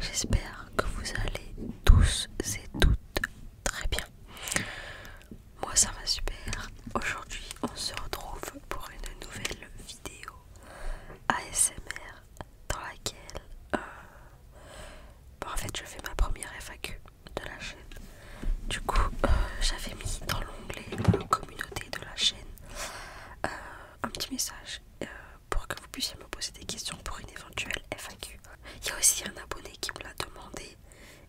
J'espère que vous allez tous et toutes très bien. Moi ça va super. Aujourd'hui on se retrouve pour une nouvelle vidéo ASMR dans laquelle euh, en fait je fais ma première FAQ de la chaîne. Du coup euh, j'avais mis dans l'onglet euh, communauté de la chaîne un petit message pour que vous puissiez me poser des questions pour une éventuelle FAQ. Il y a aussi un abonné qui me l'a demandé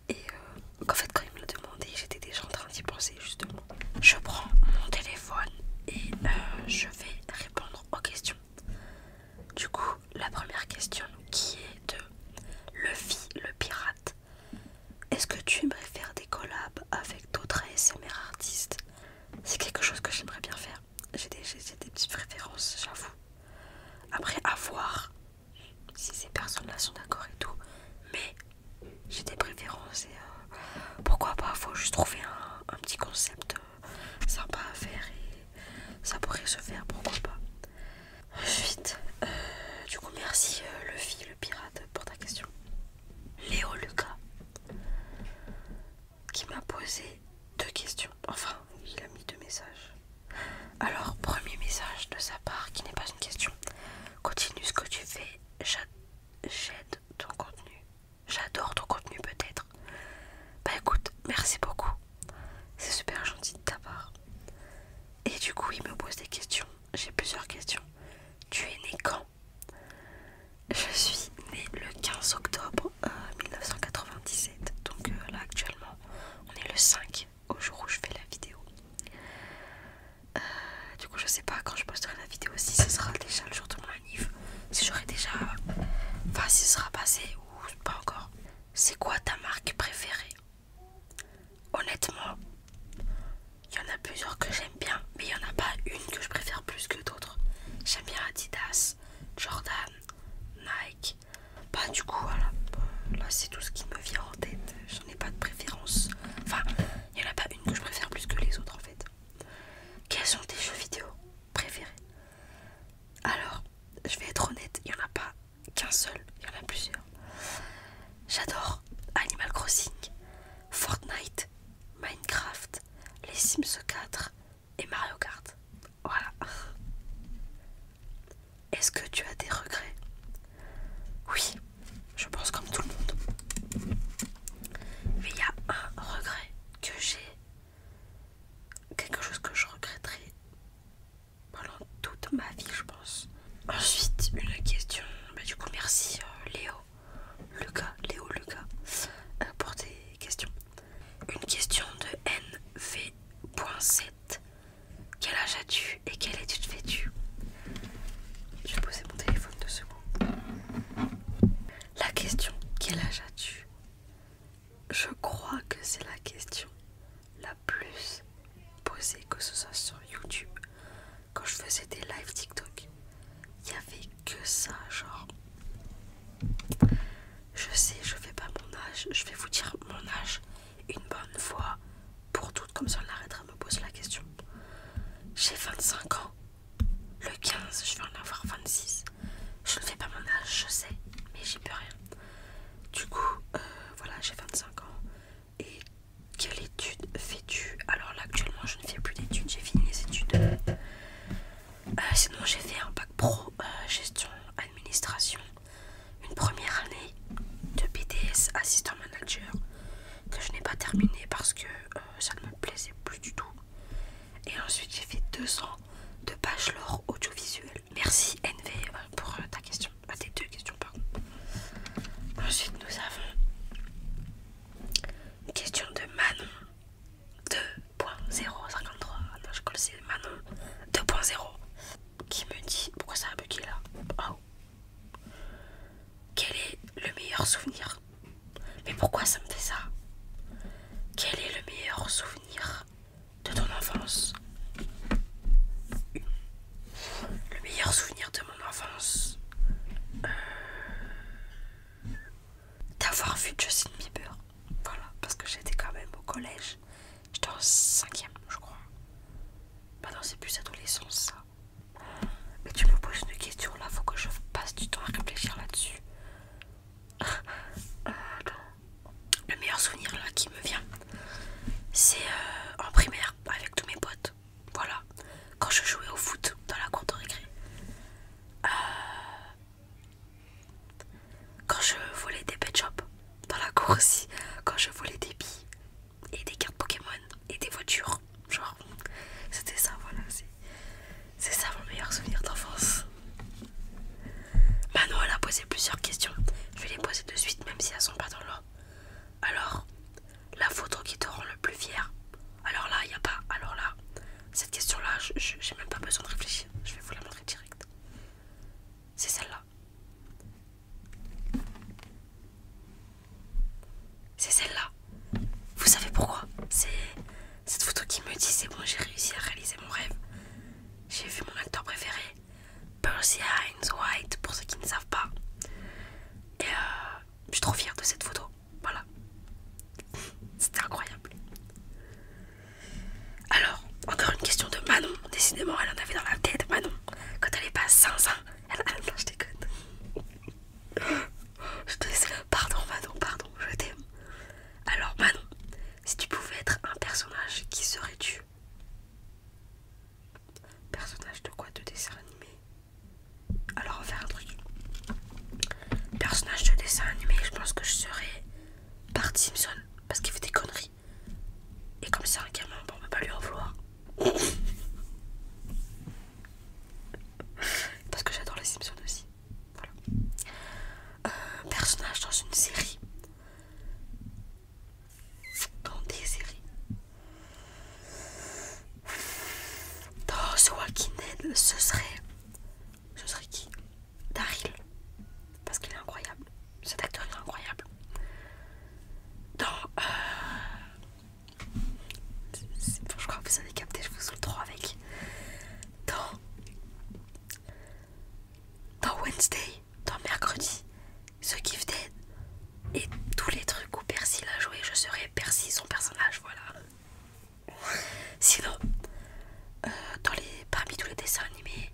et euh, en fait quand il me l'a demandé j'étais déjà en train d'y penser justement. Je prends mon téléphone et euh, je vais répondre aux questions. Du coup la première question qui est de Levi le pirate. Est-ce que tu aimerais faire des collabs avec d'autres ASMR artistes C'est quelque chose que j'aimerais bien faire j'ai des, petites préférences, j'avoue. Après, à voir si ces personnes-là sont d'accord et tout. Mais j'ai des préférences et euh, pourquoi pas, faut juste trouver un, petit concept euh, sympa à faire et ça pourrait se faire, pourquoi pas. Ensuite, euh, du coup, merci Luffy le pirate pour ta question. Léo Lucas qui m'a posé deux questions. Enfin, il a mis deux messages. Alors, premier message de sa part qui n'est pas une question. Continue ce que tu fais. J'aide ton contenu. J'adore ton contenu peut-être. Bah écoute, merci beaucoup. C'est super gentil de ta part. Et du coup, il me pose des questions. J'ai plusieurs questions. Tu es né quand Je suis née le 15 octobre 1997. Euh, Donc euh, là actuellement on est le 5 au jour où je fais la vidéo. Euh, du coup je sais pas quand je posterai la vidéo si ce sera déjà le jour de mon anniv, si j'aurai déjà... Enfin si ce sera passé ou pas encore. C'est quoi ta marque préférée Honnêtement, il y en a plusieurs que j'aime bien, mais il n'y en a pas une que je préfère plus que d'autres. J'aime bien Adidas, Jordan, Nike. Bah du coup voilà, bah, là c'est tout ce qui me vient en tête. J'en ai pas de préférence. Enfin, il n'y en a pas une que je préfère plus que les autres en fait. Quels sont tes jeux vidéo préférés Alors, je vais être honnête, il y en a pas qu'un seul, il y en a plusieurs. J'adore Animal Crossing, Fortnite, Minecraft, Les Sims 4, et Mario Kart. Voilà. Est-ce que tu as des regrets Oui, je pense comme tout le monde. Mais il y a un regret que j'ai. Quelque chose que je regretterai pendant toute ma vie, je pense. Ensuite, une question. Bah, du coup, merci euh, Léo, Lucas, Léo, Lucas, euh, pour tes questions. Une question de NV.7. Quel âge as-tu et quelle étude fais-tu Je vais poser mon téléphone deux secondes. La question quel âge as-tu Je crois que c'est la question la plus posée que ce soit sur YouTube. Quand je faisais des lives TikTok, il y avait que ça, genre. Je sais, je fais pas mon âge, je vais vous dire mon âge une bonne fois pour toutes, comme ça on arrêtera de me poser la question. J'ai 25 ans, le 15, je vais en avoir 26. Je ne fais pas mon âge, je sais, mais j'y peux rien. Du coup, euh, voilà, j'ai 25 ans. Et quelle étude fais-tu Alors là, actuellement, je ne fais plus d'études, j'ai fini les études. Euh, sinon j'ai fait un bac pro euh, gestion administration, une première année de BTS assistant manager que je n'ai pas terminé parce que euh, ça ne me plaisait plus du tout. Et ensuite j'ai fait deux ans de bachelor audiovisuel. Merci NV pour ta question, tes deux questions pardon. Ensuite nous avons une question de Manon 2.053, non je colle c'est Manon 2.0 qui me dit, pourquoi ça a bugué là oh. Quel est le meilleur souvenir Mais pourquoi ça me fait ça Quel est le meilleur souvenir de ton enfance Le meilleur souvenir de mon enfance euh, d'avoir vu Justin Bieber. Voilà, parce que j'étais quand même au collège. J'étais en cinquième, je crois. Bah non, c'est plus adolescence, ça. Mais tu me poses une question là, faut que je passe du temps à réfléchir là-dessus. Euh, le meilleur souvenir là qui me vient, c'est euh, en primaire avec tous mes potes. Voilà, quand je jouais au foot dans la cour de récré. Euh, quand je volais des pet shops dans la cour quand je volais des billes et des cartes Pokémon et des voitures, genre c'était ça, voilà. C'est ça mon meilleur souvenir d'enfance. Manon, elle a posé plusieurs questions. Je vais les poser de suite, même si elles sont pas dans l'ordre. Alors, la photo qui te rend le plus fier Alors là, il n'y a pas. Alors là, cette question-là, J'ai même pas besoin de réfléchir. Je vais vous la montrer direct. C'est celle-là. C'est celle-là. Vous savez pourquoi C'est cette photo qui me dit c'est bon, j'ai réussi à réaliser mon rêve. J'ai vu mon acteur préféré, Percy Hines White, pour ceux qui ne savent pas. Et euh, je suis trop fière de cette photo. Voilà. C'était incroyable. Alors, encore une question de Manon. Décidément, elle en avait dans la tête, Manon. Quand elle est pas sans elle a... Non, je déconne. Je Pardon, Manon, pardon, je t'aime. Alors, Manon, si tu pouvais être un personnage, qui serais-tu Personnage de quoi De dessin animé Alors on va faire un truc. Personnage de dessin animé, je pense que je serais Part Simpson parce qu'il fait des conneries. Et comme ça un gamin, bon, on va pas lui en vouloir. parce que j'adore les Simpsons aussi. Voilà. Euh, personnage dans une série. Dans des séries. Dans Walking ce serait je serait qui Daryl. Parce qu'il est incroyable. Cet acteur il est incroyable. Dans. Euh, je crois que vous avez capté, je vous le trop avec. Dans. Dans Wednesday, dans mercredi, The Gifted et tous les trucs où Percy l'a joué, je serai Percy, son personnage, voilà. Sinon, euh, dans parmi tous les dessins animés,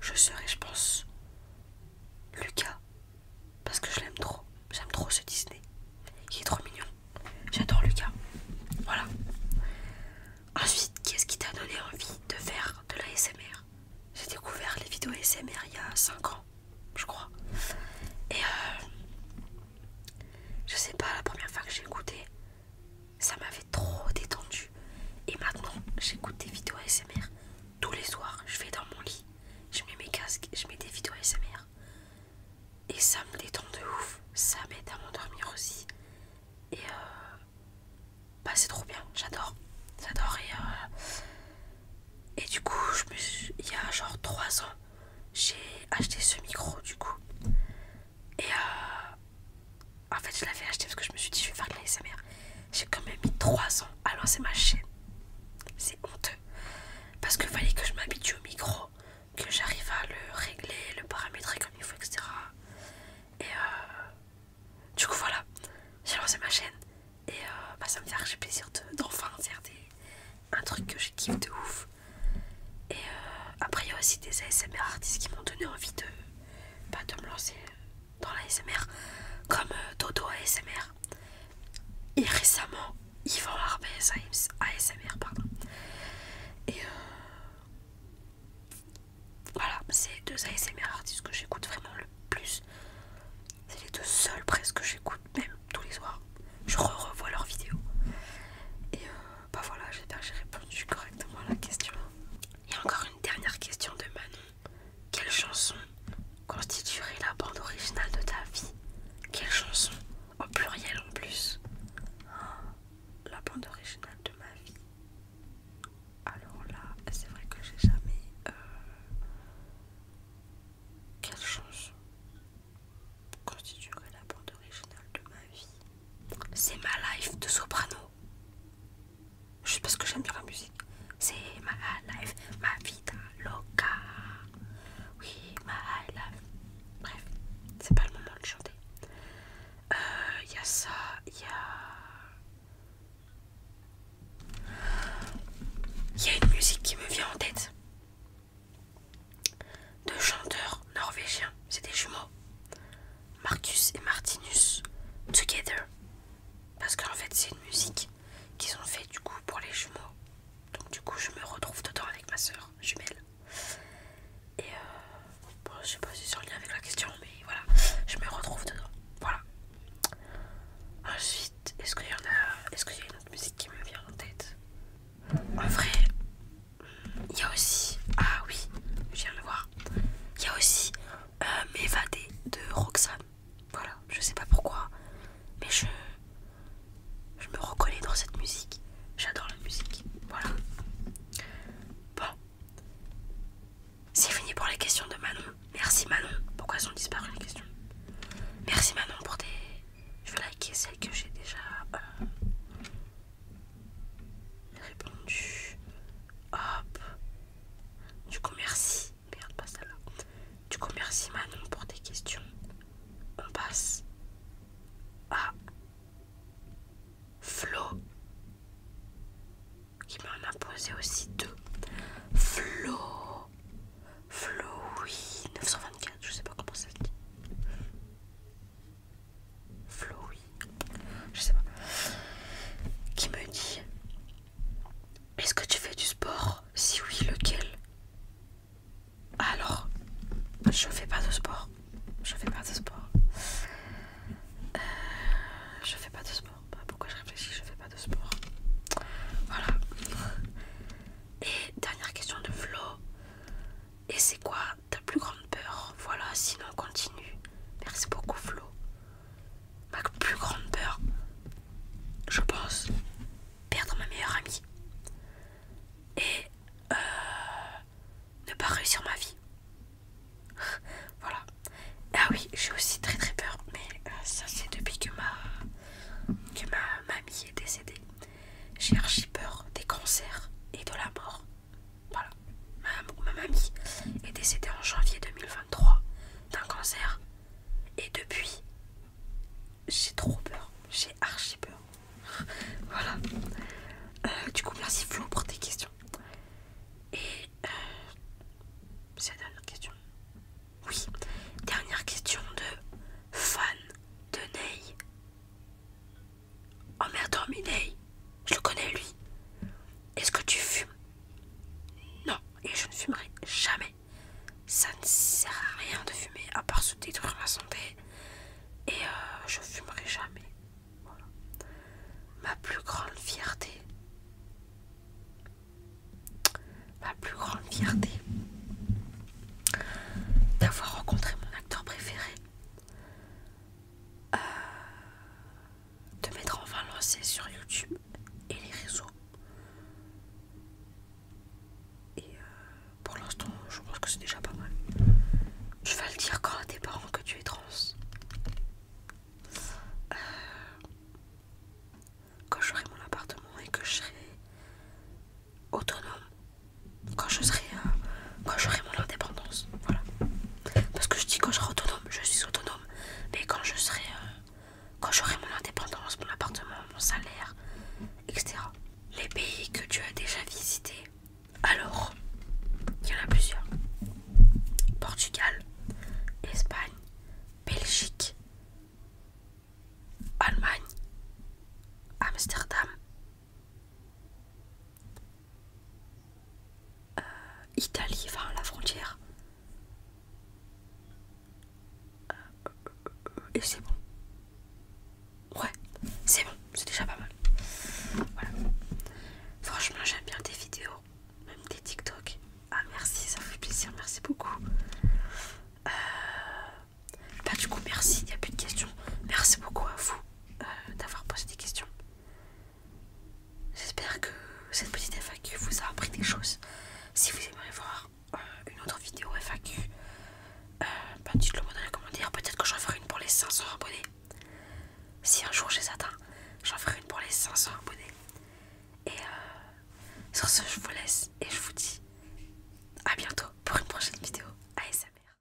je serais, je pense, Lucas. Parce que je l'aime trop. J'aime trop ce Disney. Il est trop mignon. J'adore Lucas. Voilà. Ensuite, qu'est-ce qui t'a donné envie de faire de la SMR J'ai découvert les vidéos SMR il y a 5 ans, je crois. Et euh, je sais pas, la première fois que j'ai écouté, ça m'avait trop détendu. Et maintenant, j'écoute des vidéos ASMR tous les soirs. Je vais dans mon lit, je mets mes casques, je mets des vidéos ASMR. Et ça me détend de ouf. Ça m'aide à m'endormir aussi. Et euh, bah, c'est trop bien. J'adore. J'adore. Et, euh, et du coup, il y a genre 3 ans, j'ai acheté ce micro. Du coup, et euh, en fait, je l'avais acheté parce que je me suis dit, je vais faire de l'ASMR. J'ai quand même mis 3 ans à lancer ma chaîne. C'est honteux. Parce que fallait que je m'habitue au micro, que j'arrive à le régler, le paramétrer comme il faut, etc. Et euh, du coup, voilà, j'ai lancé ma chaîne. Et euh, bah, ça me fait j'ai plaisir d'enfin de, faire un truc que j'ai de ouf. Et euh, après, il y a aussi des ASMR artistes qui m'ont donné envie de, bah, de me lancer dans l'ASMR, comme euh, Dodo ASMR. Et récemment, Yvan Harbez ASMR, pardon. Et euh, voilà, c'est deux ASMR artistes que j'écoute vraiment le plus. C'est les deux seuls presque que j'écoute, même tous les soirs. Je re revois leurs vidéos. Et bah voilà, j'ai j'ai répondu correctement à la question. Et encore une dernière question de Manon. Quelle chanson constituerait la bande originale de ta vie Quelle chanson Au pluriel en plus. Oh, la bande originale de ma vie. Alors là, c'est vrai que j'ai jamais... Euh, quelle chanson constituerait la bande originale de ma vie c'est ma life de soprano. Je pas parce que j'aime bien la musique. C'est ma life, ma vida loca. Oui, ma life. Bref, c'est pas le moment de chanter. Il euh, y a ça, il y a. Il y a une musique qui me vient en tête. De chanteurs norvégiens, c'est des jumeaux, Marcus et Martinus, Together, parce qu'en fait c'est une musique qu'ils ont fait du coup pour les jumeaux. Donc du coup je me retrouve dedans avec ma soeur jumelle. Et euh, je sais pas si c'est en lien avec la question, mais voilà, je me retrouve dedans. Voilà. Ensuite, est-ce qu'il y en a, est-ce qu'il y a une autre musique qui me vient en tête En vrai, il y a aussi. Ah oui, je viens de le voir. Il y a aussi euh, M'évader de Roxane. Voilà, je sais pas pourquoi, mais je. Je me reconnais dans cette musique. J'adore la musique. Voilà. Bon. C'est fini pour les questions de Manon. Merci Manon. Pourquoi elles ont disparu les questions Merci Manon pour tes. Je vais liker celles que j'ai déjà. Euh, Répondu. Hop. Du coup, merci. Merde, pas celle-là. Du coup, merci Manon pour tes questions. On passe à Flo qui m'en a posé aussi deux. Flo. Flo, oui. 924, je sais pas comment ça se dit oui je sais pas, qui me dit Est-ce que tu fais du sport Si oui, lequel Alors, je fais pas de sport. Je fais pas de sport. Euh, je fais pas de sport. Bah, pourquoi je réfléchis Je fais pas de sport. Voilà. Et dernière question de Flo. Et c'est quoi ta plus grande peur. Voilà, sinon continue. Merci beaucoup Flo. Ma plus grande peur, je pense, perdre ma meilleure amie. Et euh, ne pas réussir ma vie. voilà. Ah oui, j'ai aussi très très peur, mais euh, ça c'est depuis que ma, que ma mamie est décédée. J'ai archi peur des cancers et de la mort. Voilà. Ma, mamie est décédée en janvier 2023 d'un cancer. Et depuis, j'ai trop peur. J'ai archi peur. voilà. Euh, du coup, merci Flo pour tes questions. Et euh, c'est la dernière question. Oui, dernière question de fan de Ney merde Miney, je le connais lui. Est-ce que tu fumes Non, et je ne fumerai jamais. Ça ne sert à rien de fumer à part se détruire ma santé. Et euh, je fumerai jamais. Voilà. Ma plus grande fierté. Ma plus grande fierté d'avoir rencontré mon acteur préféré te de m'être enfin lancé sur YouTube et les réseaux. Et euh, pour l'instant, je pense que c'est déjà pas mal. Je vas le dire quand tes parents que tu es trans. Euh, quand j'aurai mon appartement et que je serai autonome quand je serai euh, quand j'aurai mon indépendance voilà parce que je dis quand je serai autonome je suis autonome mais quand je serai euh, quand j'aurai mon indépendance mon appartement mon salaire etc les pays que tu as déjà visités alors il y en a plusieurs Portugal Espagne Belgique Allemagne Amsterdam euh, Italie, enfin la frontière. Euh, et c'est bon. Ouais, c'est bon, c'est déjà pas mal. Voilà. Franchement, j'aime bien tes vidéos, même des TikTok. Ah merci, ça me fait plaisir, merci beaucoup. Euh, bah du coup, merci, il n'y a plus de questions. Merci beaucoup à vous. Euh, d'avoir posé des questions. J'espère que cette petite FAQ vous a appris des choses. Si vous aimeriez voir euh, une autre vidéo FAQ, euh, bah, dites-le moi dans les commentaires. Peut-être que j'en ferai une pour les 500 abonnés. Si un jour j'ai atteint, j'en ferai une pour les 500 abonnés. Et sur ce, je vous laisse et je vous dis à bientôt pour une prochaine vidéo ASMR.